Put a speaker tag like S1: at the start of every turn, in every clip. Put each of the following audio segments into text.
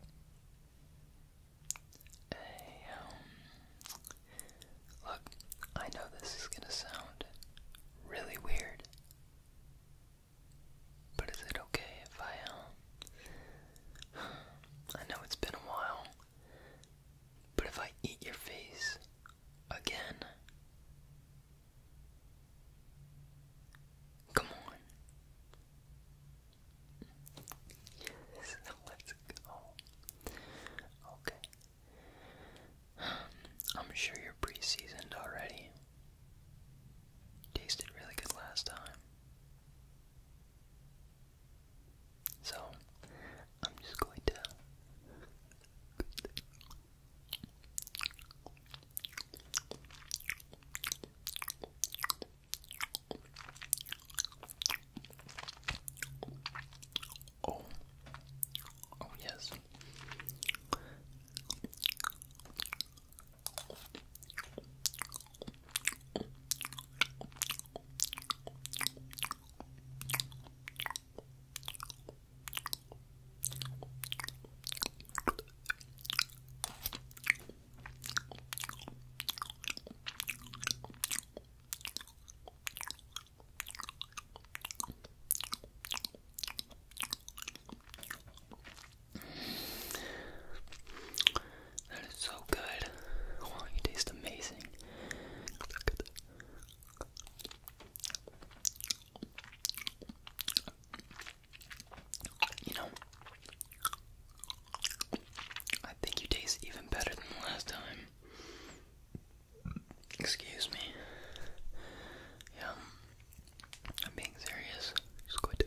S1: Um, look, I know this is gonna sound really weird, but is it okay if I, um, I know it's been a while, but if I eat your face again, come on let's go. Okay. Um, I'm sure you're pre seasoned already. Tasted really good last time. So, I'm just going to. Oh, oh, yes. That is so good. Oh, you taste amazing. You know, I think you taste even better than last time. Excuse me. Yeah, I'm being serious. Just going to.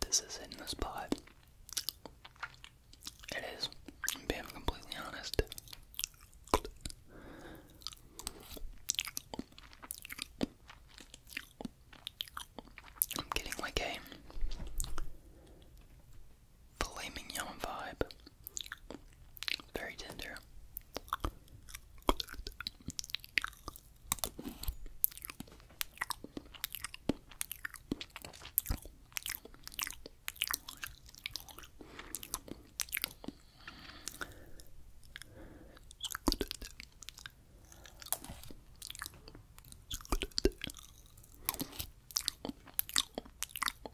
S1: This is in this spot. It being completely honest. I'm getting like a filet mignon vibe. Very tender.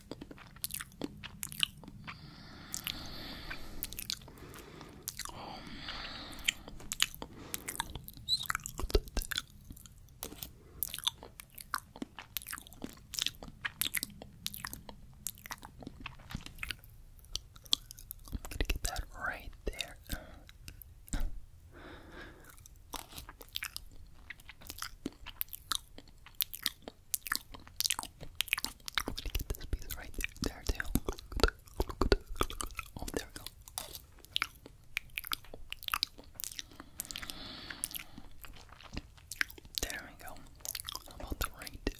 S1: I'm gonna get that right there. I'm gonna get this piece right there, there too. Oh, there we go. There we go. How about the right? There.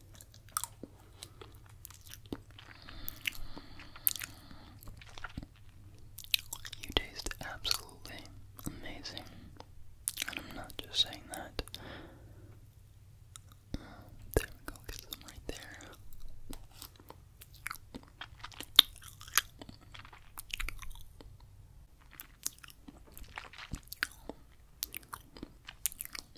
S1: You taste absolutely amazing. And I'm not just saying that. there we go, get some right there.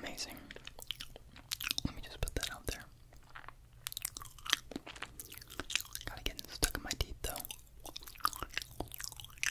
S1: Amazing. Let me just put that out there. Gotta get stuck in my teeth though.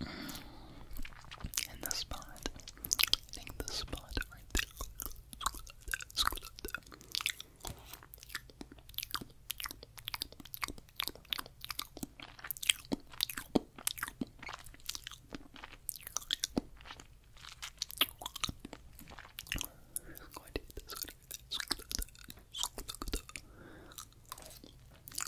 S1: And the spot. I think the spot right there. Squat up there. Squat up there.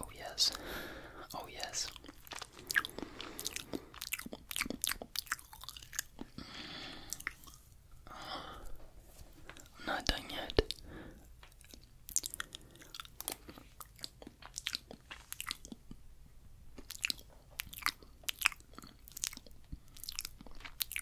S1: Oh, yes. Oh, yes. not done yet.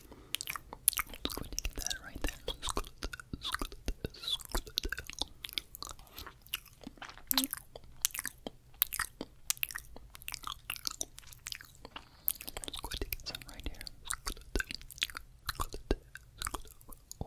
S1: Just going to get that right there. Just gonna, just gonna, just gonna. Let's go take it some right here. Oh.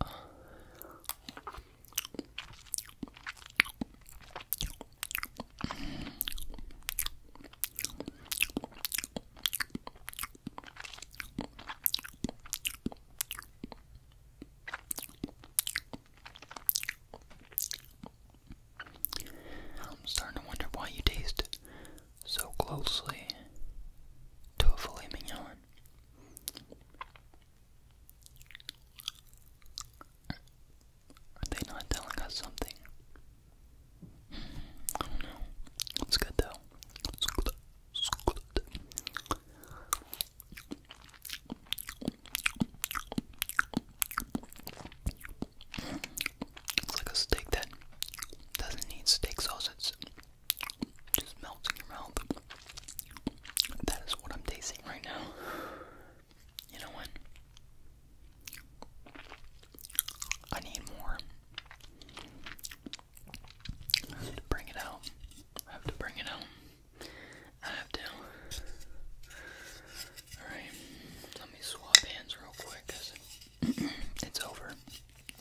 S1: I'm starting to wonder why you taste so closely to a filet mignon. Are they not telling us something? Hmm, I don't know. It's good though. It's good. like a steak that doesn't need steak sauce just melts in your mouth. That is what I'm tasting right now. You know what? I need more. I have to bring it out. I have to bring it out. I have to. Alright, let me swap hands real quick because it's over.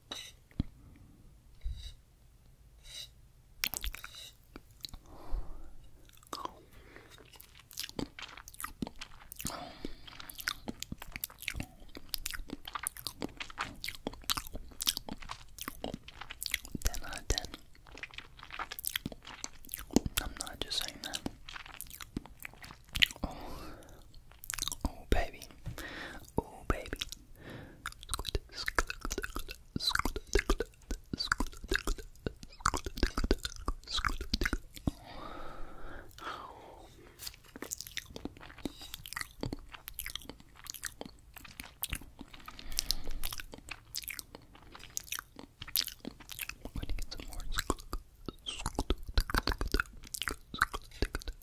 S1: Ten out of ten. I'm not just saying that. Oh, oh baby, oh baby, I'm going to get some more.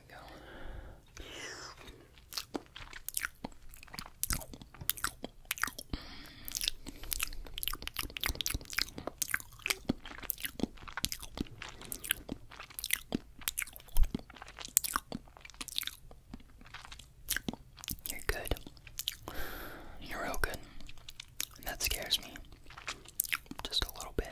S1: You're good. You're real good. And that scares me. Just a little bit.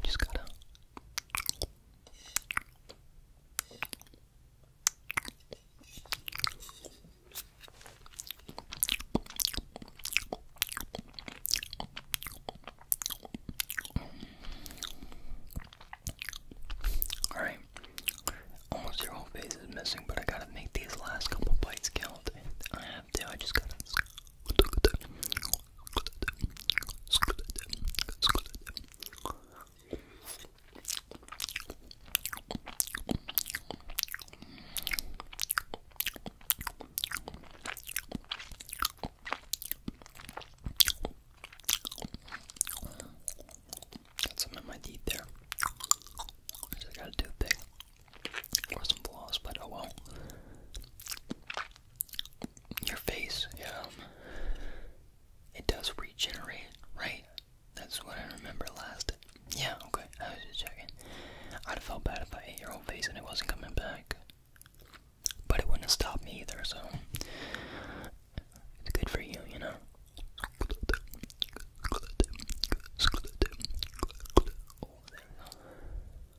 S1: We just gotta all right, almost your whole face is missing, but I gotta make these last couple bites count. I have to. I just gotta. Got some in my teeth there. I got a toothpick. Or some floss, but oh well your face, yeah. It does regenerate, right? That's what I remember last. Yeah, okay, I was just checking. I'd have felt bad if I ate your whole face and it wasn't coming back. But it wouldn't have stopped me either, so. It's good for you, you know?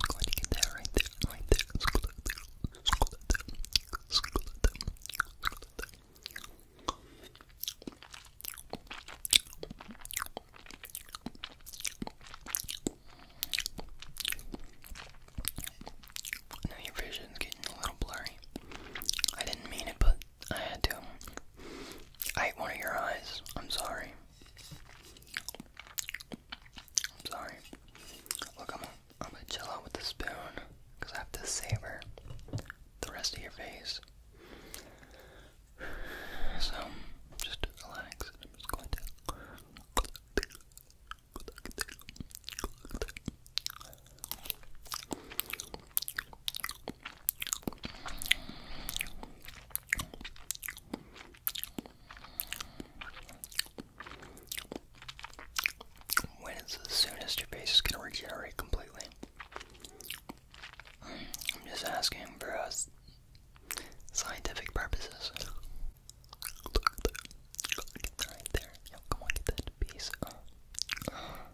S1: Glad you get that right there, right there. School at school at school at school at your vision's getting a little blurry. I didn't mean it, but I had to. I ate one of your eyes. I'm sorry. I'm sorry. Look, I'm, I'm gonna chill out with the spoon because I have to savor the rest of your face. So, just relax. I'm just going to. When is the soonest your face is going to regenerate completely? I'm just asking for us scientific purposes. Look Right there. come on, get that piece.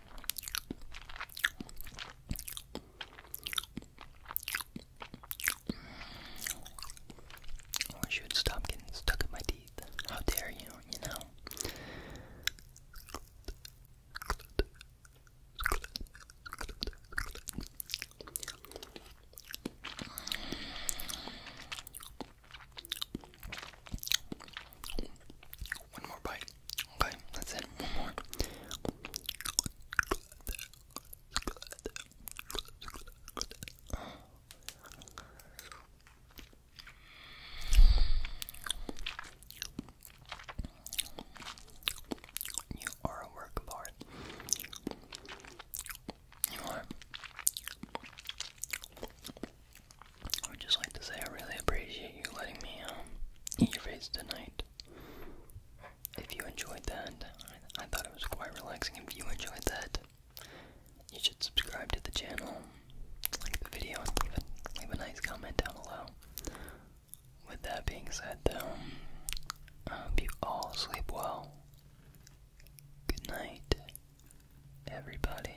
S1: I wish stop getting stuck in my teeth. How dare you, you know? One more bite. Okay, that's it. One more. You are a work of art. You are. I would just like to say I really appreciate you letting me um, eat your face tonight. If you enjoyed that, I, thought it was quite relaxing. If you enjoyed that, you should subscribe to the channel, like the video, and leave a, leave a nice comment down below. With that being said, though, I hope you all sleep well. Good night, everybody.